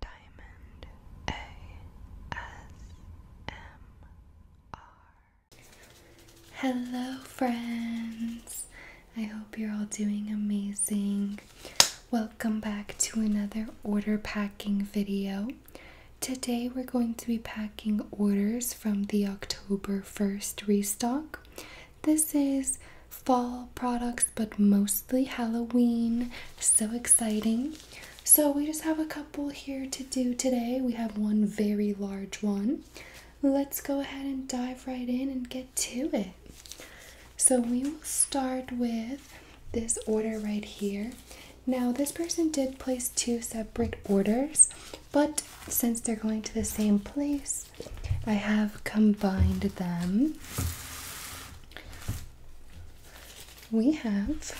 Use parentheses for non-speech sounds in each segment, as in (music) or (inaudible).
Diamond ASMR. Hello, friends. I hope you're all doing amazing. Welcome back to another order packing video. Today, we're going to be packing orders from the October 1st restock. This is fall products, but most lastly, Halloween. So exciting. So, we just have a couple here to do today. We have one very large one. Let's go ahead and dive right in and get to it. So, we will start with this order right here. Now, this person did place two separate orders, but since they're going to the same place, I have combined them we have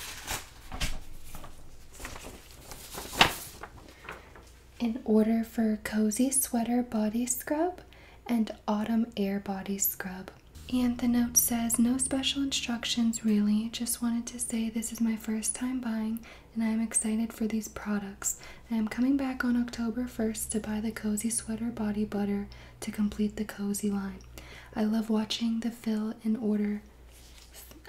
an order for cozy sweater body scrub and autumn air body scrub. And the note says, No special instructions, really. Just wanted to say this is my first time buying and I am excited for these products. I am coming back on October 1st to buy the Cozy Sweater Body Butter to complete the cozy line. I love watching the fill in order.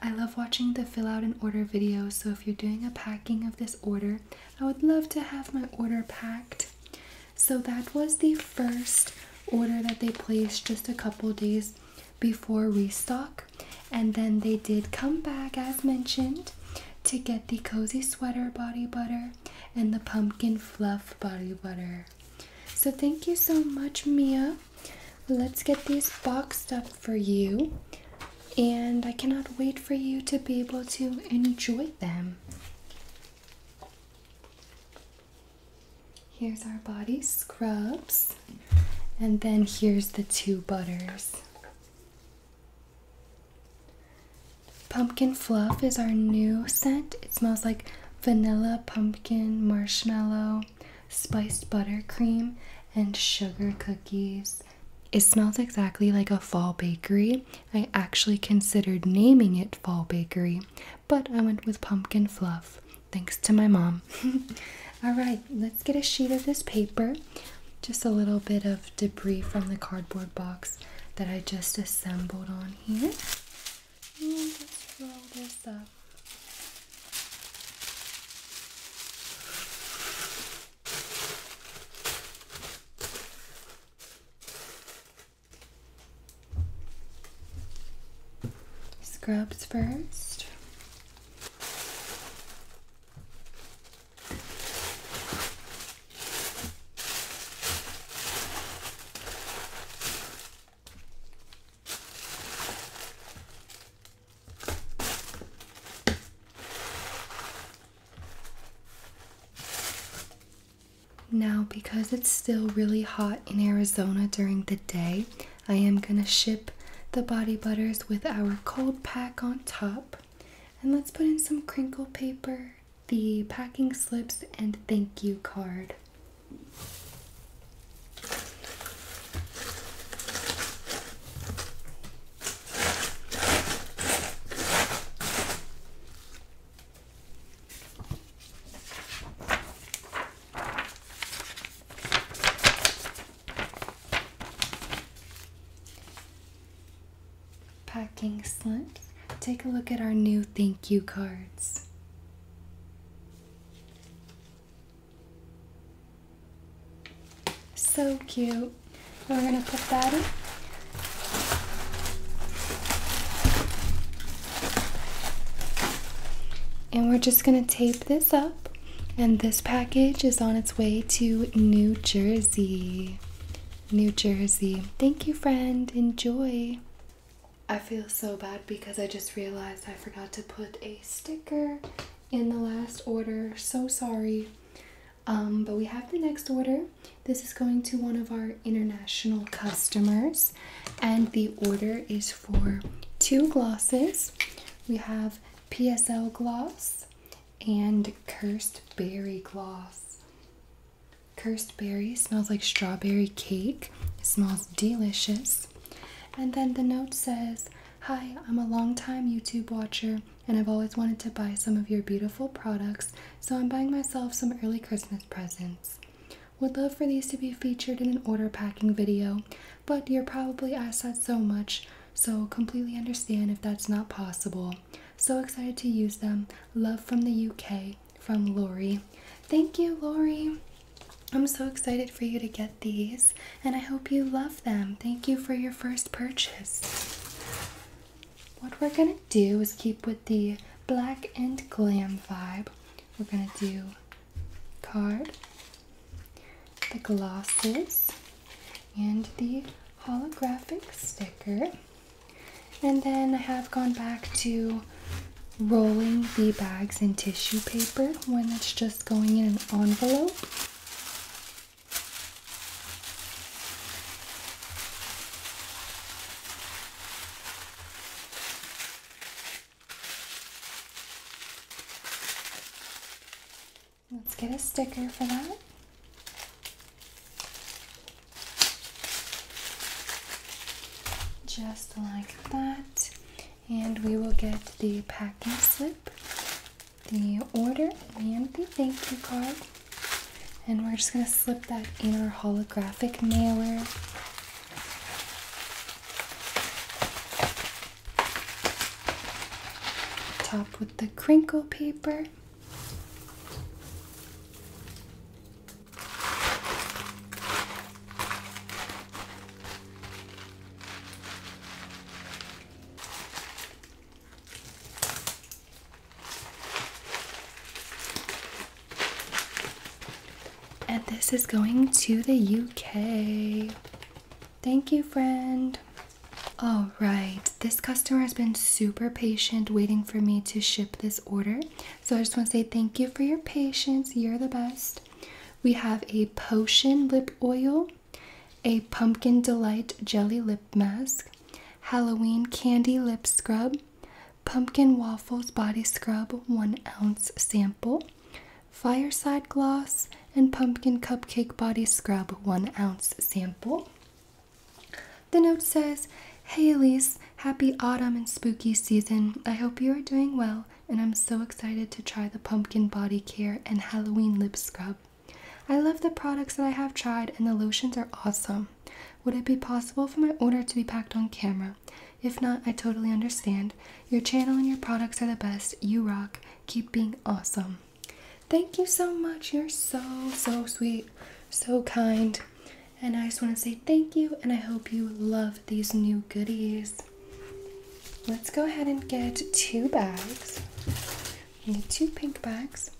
I love watching the fill out in order videos. So if you're doing a packing of this order, I would love to have my order packed. So that was the first order that they placed just a couple days before restock. And then they did come back as mentioned to get the cozy sweater body butter and the pumpkin Fluff Body Butter. So, thank you so much, Mia. Let's get these boxed up for you. And I cannot wait for you to be able to enjoy them. Here's our body scrubs. And then here's the two butters. Pumpkin Fluff is our new scent. It smells like vanilla, pumpkin, marshmallow, spiced buttercream, and sugar cookies. It smells exactly like a fall bakery. I actually considered naming it Fall Bakery, but I went with Pumpkin Fluff thanks to my mom. (laughs) All right, let's get a sheet of this paper. Just a little bit of debris from the cardboard box that I just assembled on here. And just roll this up. Scrubs first. Now, because it's still really hot in Arizona during the day, I am going to ship the body butters with our cold pack on top. And let's put in some crinkle paper the packing slips and thank you card. Packing slip. Take a look at our new thank you cards. So cute. We're going to put that in. And we're just going to tape this up. And this package is on its way to New Jersey. New Jersey. Thank you, friend. Enjoy. I feel so bad because I just realized I forgot to put a sticker in the last order. So sorry. Um, but we have the next order. This is going to one of our international customers, and the order is for two glosses. We have PSL gloss and Cursed Berry gloss. Cursed berry smells like strawberry cake. smells delicious. And then the note says, Hi, I'm a long-time YouTube watcher and I've always wanted to buy some of your beautiful products, so I'm buying myself some early Christmas presents. Would love for these to be featured in an order packing video, but you're probably asked that so much, so completely understand if that's not possible. So excited to use them. Love from the UK from Lori. Thank you, Lori. I'm so excited for you to get these, and I hope you love them. Thank you for your first purchase. What we're gonna do is keep with the black and glam vibe. We're gonna do card, the glosses, and the holographic sticker. And then I have gone back to rolling the bags in tissue paper when it's just going in an envelope. Let's get a sticker for that. Just like that, and we will get the packing slip, the order, and the thank you card. And we're just gonna slip that in our holographic mailer. Top with the crinkle paper. And this is going to the UK. Thank you, friend. All right, this customer has been super patient waiting for me to ship this order. So I just want to say thank you for your patience. You're the best. We have a potion lip oil, a pumpkin delight jelly lip mask, Halloween candy lip scrub, pumpkin waffles body scrub, one ounce sample, fireside gloss, and pumpkin cupcake body scrub, one ounce sample. The note says, Hey Elise, happy autumn and spooky season. I hope you are doing well, and I'm so excited to try the pumpkin body care and Halloween lip scrub. I love the products that I have tried, and the lotions are awesome. Would it be possible for my order to be packed on camera? If not, I totally understand. Your channel and your products are the best. You rock. Keep being awesome. Thank you so much. You're so, so sweet, so kind. And I just want to say thank you, and I hope you love these new goodies. Let's go ahead and get two bags. We two pink bags.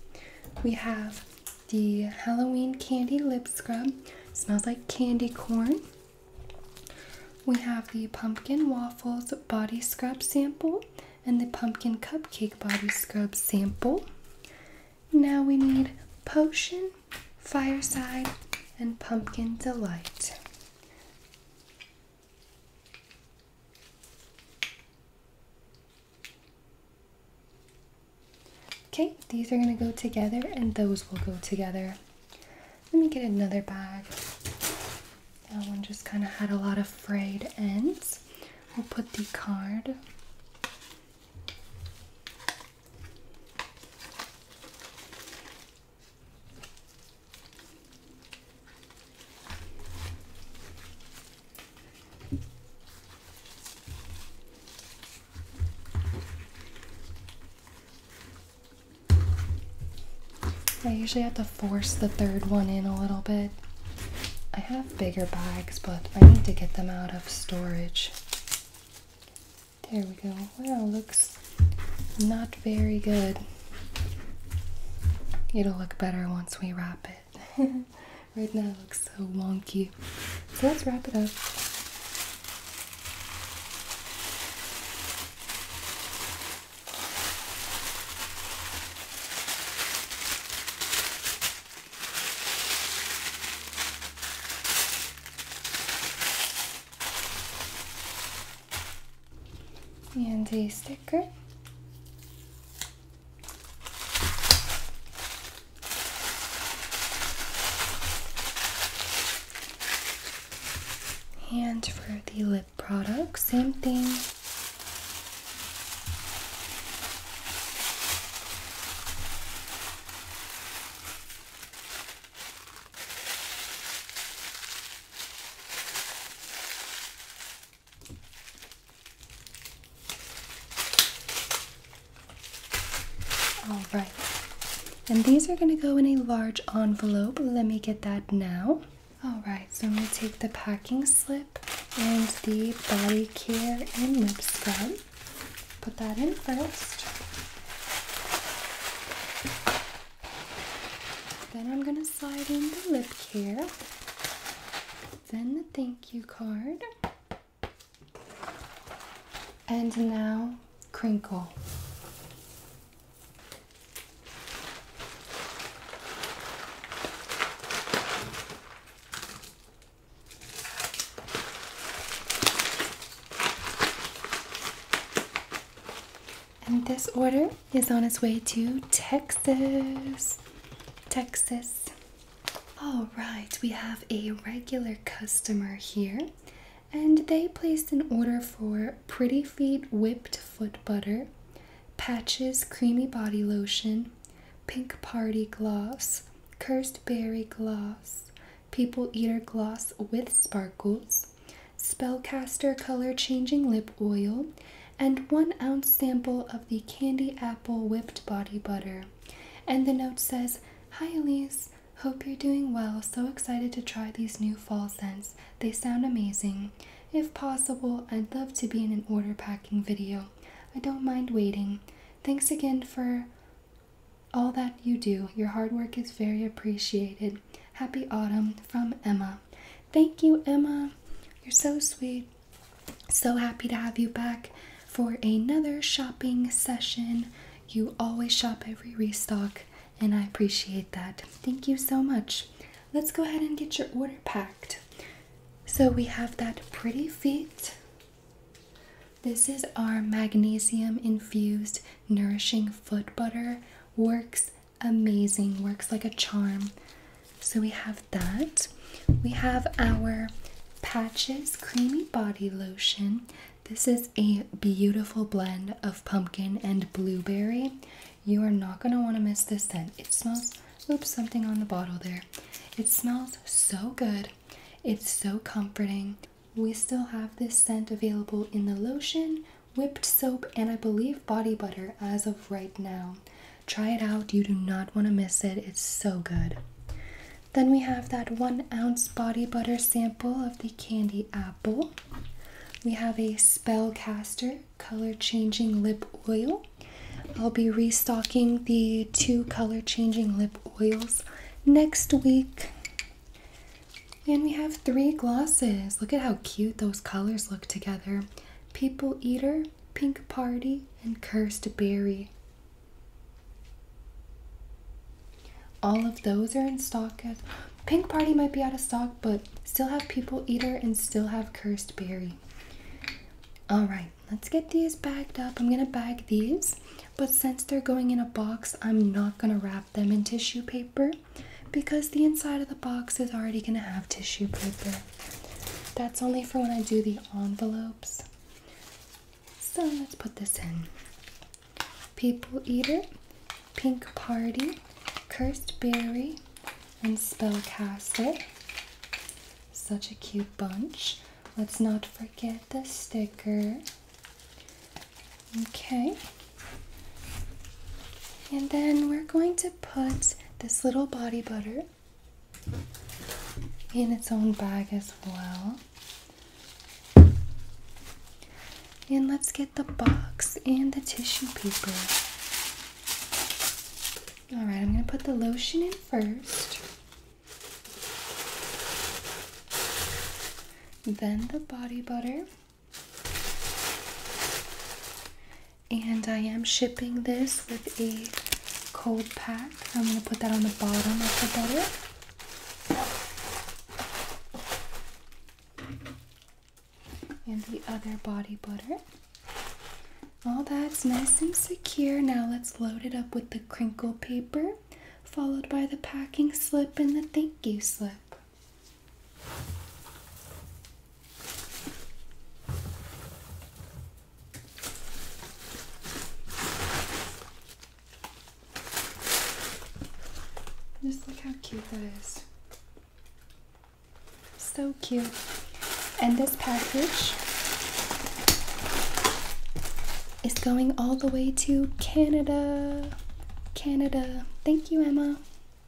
We have the Halloween Candy Lip Scrub. smells like candy corn. We have the Pumpkin Waffles Body Scrub Sample and the pumpkin cupcake body scrub sample. Now we need potion, fireside, and pumpkin delight. Okay, these are going to go together and those will go together. Let me get another bag. That one just kind of had a lot of frayed ends. We'll put the card I usually have to force the third one in a little bit. I have bigger bags, but I need to get them out of storage. There we go. Well, looks not very good. It'll look better once we wrap it. (laughs) right now it looks so wonky. So let's wrap it up and a sticker and for the lip product, same thing. All right, and these are going to go in a large envelope. Let me get that now. Alright, so I'm going to take the packing slip and the body care and lip scrub. Put that in first. Then I'm going to slide in the lip care, then the thank you card, and now crinkle. And this order is on its way to Texas. Texas. All right, we have a regular customer here, and they placed an order for Pretty Feet Whipped Foot Butter, Patches Creamy Body Lotion, Pink Party Gloss, Cursed Berry Gloss, People Eater Gloss with Sparkles, Spellcaster Color Changing Lip Oil, and one ounce sample of the Candy Apple Whipped Body Butter. And the note says, Hi Elise, hope you're doing well. So excited to try these new fall scents. They sound amazing. If possible, I'd love to be in an order packing video. I don't mind waiting. Thanks again for all that you do. Your hard work is very appreciated. Happy autumn from Emma. Thank you, Emma. You're so sweet. So happy to have you back for another shopping session. You always shop every restock, and I appreciate that. Thank you so much let's go ahead and get your order packed. So we have that pretty feet. This is our magnesium infused nourishing foot butter. Works amazing, works like a charm. So we have that. We have our Patches Creamy Body Lotion. This is a beautiful blend of pumpkin and blueberry. You are not going to want to miss this scent. It smells, oops, something on the bottle there. It smells so good. It's so comforting. We still have this scent available in the lotion, whipped soap, and I believe body butter as of right now. Try it out. You do not want to miss it. It's so good. Then we have that one ounce body butter sample of the candy apple. We have a spell caster. Color, Changing Lip Oil. I'll be restocking the two color changing lip oils next week. And we have three glosses. Look at how cute those colors look together People Eater, Pink Party, and Cursed Berry. All of those are in stock at Pink Party might be out of stock, but still have People Eater and still have Cursed Berry. Alright, let's get these bagged up. I'm gonna bag these, but since they're going in a box, I'm not gonna wrap them in tissue paper because the inside of the box is already gonna have tissue paper. That's only for when I do the envelopes. So let's put this in. People Eater Pink Party, Cursed Berry, and Spellcaster. Such a cute bunch. Let's not forget the sticker. Okay. And then we're going to put this little body butter in its own bag as well. And let's get the box and the tissue paper. Alright, I'm going to put the lotion in first. Then the body butter. And I am shipping this with a cold pack. I'm going to put that on the bottom of the butter and the other body butter. All that's nice and secure. Now let's load it up with the crinkle paper, followed by the packing slip and the thank you slip. Just look how cute that is. So cute. And this package is going all the way to Canada. Canada. Thank you, Emma.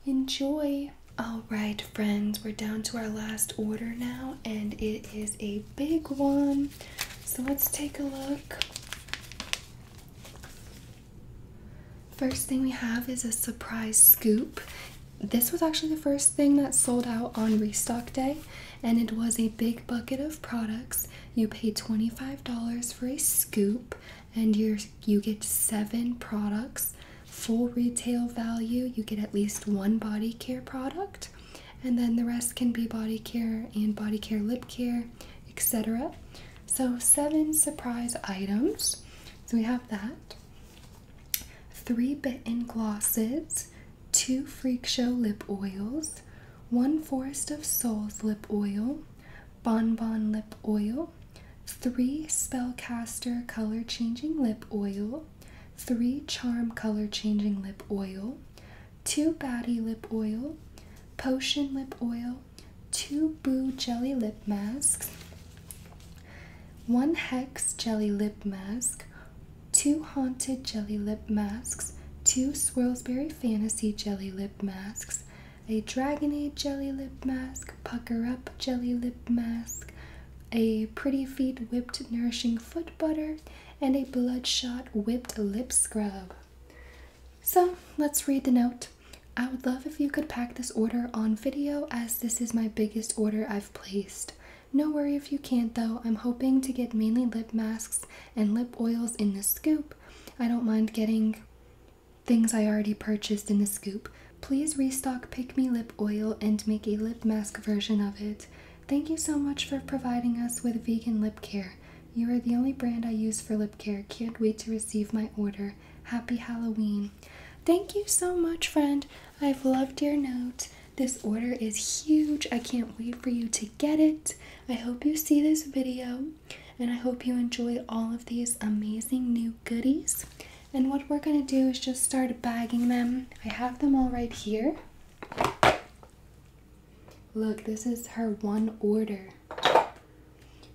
Enjoy. All right, friends, we're down to our last order now, and it is a big one. So let's take a look. First thing we have is a surprise scoop. This was actually the first thing that sold out on restock day, and it was a big bucket of products. You pay $25 for a scoop, and you you get seven products. Full retail value, you get at least one body care product, and then the rest can be body care and body care lip care, etc. So, seven surprise items. So we have that. Three bitten glosses, two Freak Show lip oils, one Forest of Souls lip oil, Bonbon lip oil, three Spellcaster color changing lip oil, three Charm color changing lip oil, two Batty lip oil, Potion lip oil, two Boo Jelly Lip Masks, one Hex Jelly Lip Mask, two Haunted Jelly Lip Masks, two Swirlsberry Fantasy Jelly Lip Masks, a Dragonade Jelly Lip Mask, Pucker Up Jelly Lip Mask, a Pretty Feet Whipped Nourishing Foot Butter, and a Bloodshot Whipped Lip Scrub. So let's read the note. I would love if you could pack this order on video as this is my biggest order I've placed. No worry if you can't though, I'm hoping to get mainly lip masks and lip oils in the scoop. I don't mind getting things I already purchased in the scoop. Please restock Pick Me Lip Oil and make a lip mask version of it. Thank you so much for providing us with vegan lip care. You are the only brand I use for lip care. Can't wait to receive my order. Happy Halloween. Thank you so much, friend. I've loved your note. This order is huge. I can't wait for you to get it. I hope you see this video and I hope you enjoy all of these amazing new goodies. And what we're going to do is just start bagging them. I have them all right here. Look, this is her one order.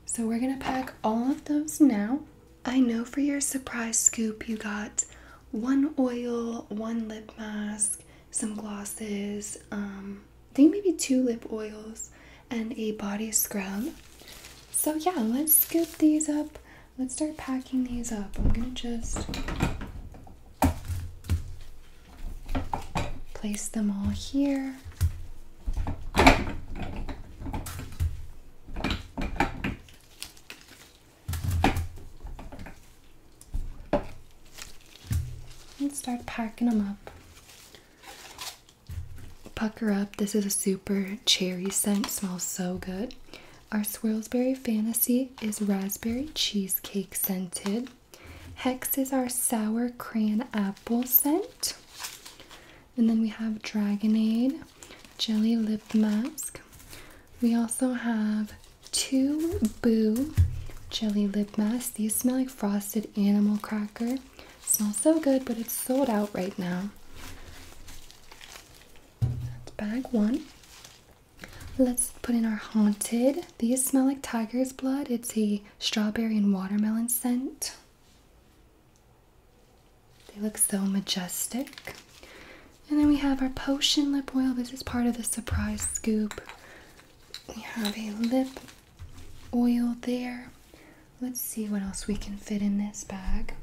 So we're gonna pack all of those now. I know for your surprise scoop you got one oil, one lip mask, some glosses, um, I think maybe two lip oils, and a body scrub. So yeah, let's scoop these up. Let's start packing these up. I'm gonna just place them all here. And start packing them up. Pucker up. This is a super cherry scent. Smells so good. Our Swirlsberry Fantasy is raspberry cheesecake scented. Hex is our sour crayon apple scent. And then we have Dragonade Jelly Lip Mask. We also have two Boo Jelly Lip Mask. These smell like frosted animal cracker. Smells so good, but it's sold out right now. That's bag one. Let's put in our Haunted. These smell like tiger's blood. It's a strawberry and watermelon scent. They look so majestic. And then we have our potion lip oil. This is part of the surprise scoop. We have a lip oil there. Let's see what else we can fit in this bag.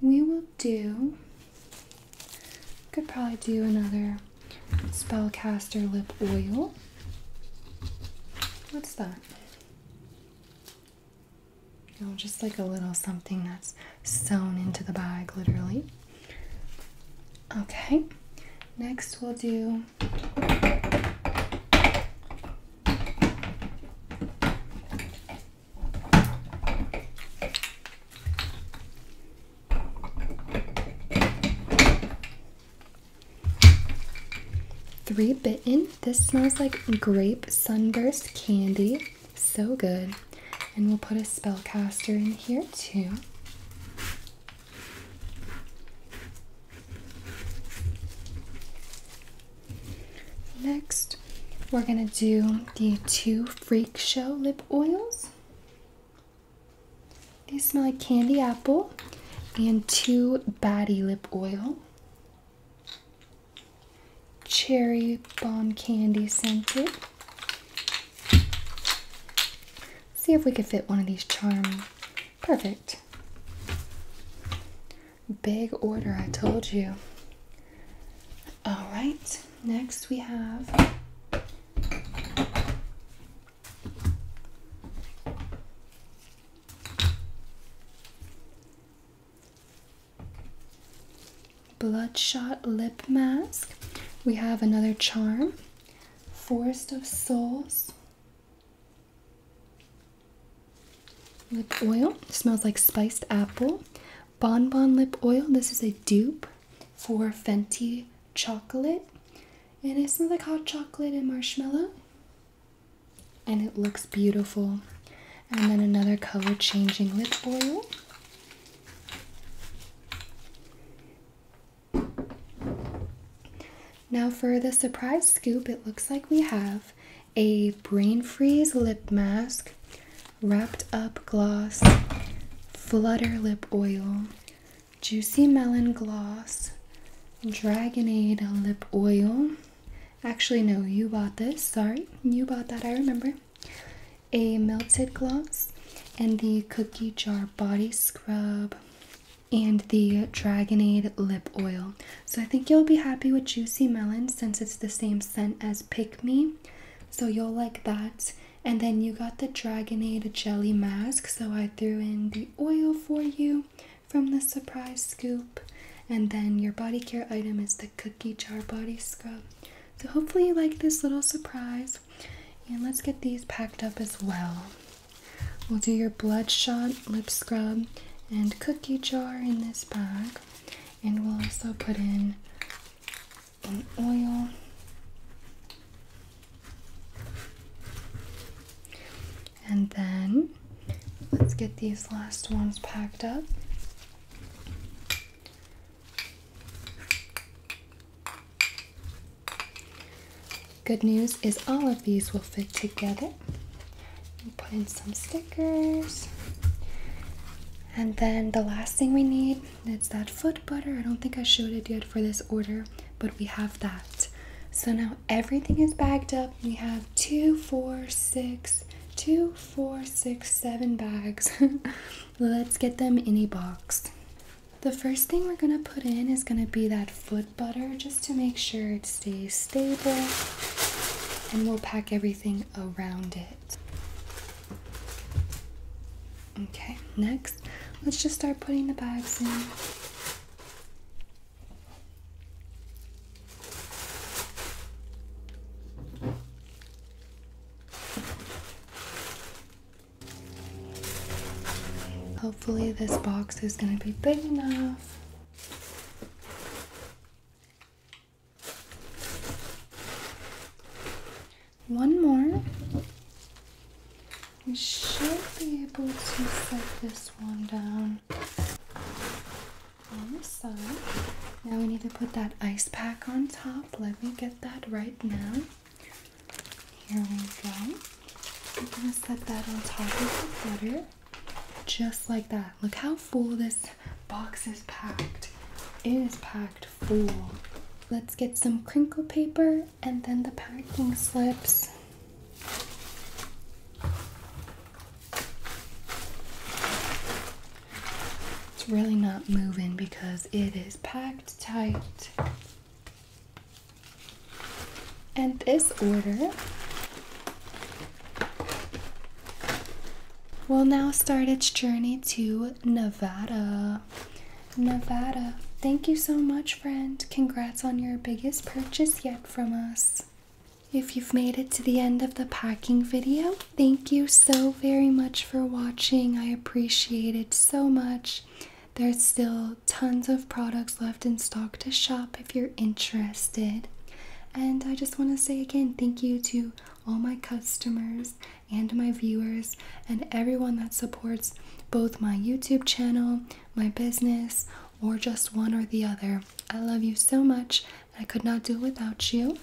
We will do, could probably do another spellcaster lip oil. What's that? Oh, just like a little something that's sewn into the bag, literally. Okay, next we'll do. Three Bitten. This smells like grape sunburst candy. So good. And we'll put a spellcaster in here too. Next, we're going to do the two Freak Show lip oils. They smell like candy apple and two batty lip oil. Cherry bomb candy scented. See if we could fit one of these charms. Perfect. Big order, I told you. All right, next we have Bloodshot Lip Mask. We have another charm. Forest of Souls. Lip oil. Smells like spiced apple. Bonbon lip oil. This is a dupe for Fenty chocolate and it smells like hot chocolate and marshmallow and it looks beautiful and then another color changing lip oil now for the surprise scoop it looks like we have a brain freeze lip mask wrapped up gloss flutter lip oil Juicy Melon Gloss Dragonade Lip Oil. Actually, no, you bought this. Sorry, you bought that, I remember. A melted gloss and the Cookie Jar Body Scrub and the Dragonade Lip Oil. So I think you'll be happy with Juicy Melon since it's the same scent as Pick Me. So you'll like that. And then you got the Dragonade Jelly Mask. So I threw in the oil for you from the surprise scoop. And then your body care item is the cookie jar body scrub. So hopefully you like this little surprise. And let's get these packed up as well. We'll do your bloodshot lip scrub and cookie jar in this bag. And we'll also put in an oil and then let's get these last ones packed up. Good news is all of these will fit together. put in some stickers. And then the last thing we need is that foot butter. I don't think I showed it yet for this order but we have that. So now everything is bagged up. We have two, four, six, two, four, six, seven bags. (laughs) Let's get them in a box. The first thing we're gonna put in is gonna be that foot butter just to make sure it stays stable and we'll pack everything around it. Okay, next, let's just start putting the bags in. Hopefully this box is going to be big enough. One more. We should be able to set this one down on the side. Now we need to put that ice pack on top. Let me get that right now. Here we go. I'm gonna set that on top of the butter, just like that. Look how full this box is packed. It is packed full. Let's get some crinkle paper and then the packing slips. It's really not moving because it is packed tight. And this order will now start its journey to Nevada. Nevada. Thank you so much, friend. Congrats on your biggest purchase yet from us. If you've made it to the end of the packing video, thank you so very much for watching. I appreciate it so much. There's still tons of products left in stock to shop if you're interested. And I just want to say again, thank you to all my customers and my viewers and everyone that supports both my YouTube channel, my business, or just one or the other. I love you so much. I could not do without you.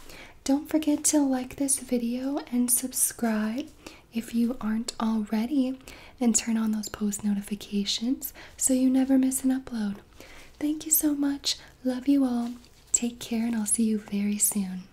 Don't forget to like this video and subscribe if you aren't already, and turn on those post notifications so you never miss an upload. Thank you so much. Love you all. Take care, and I'll see you very soon.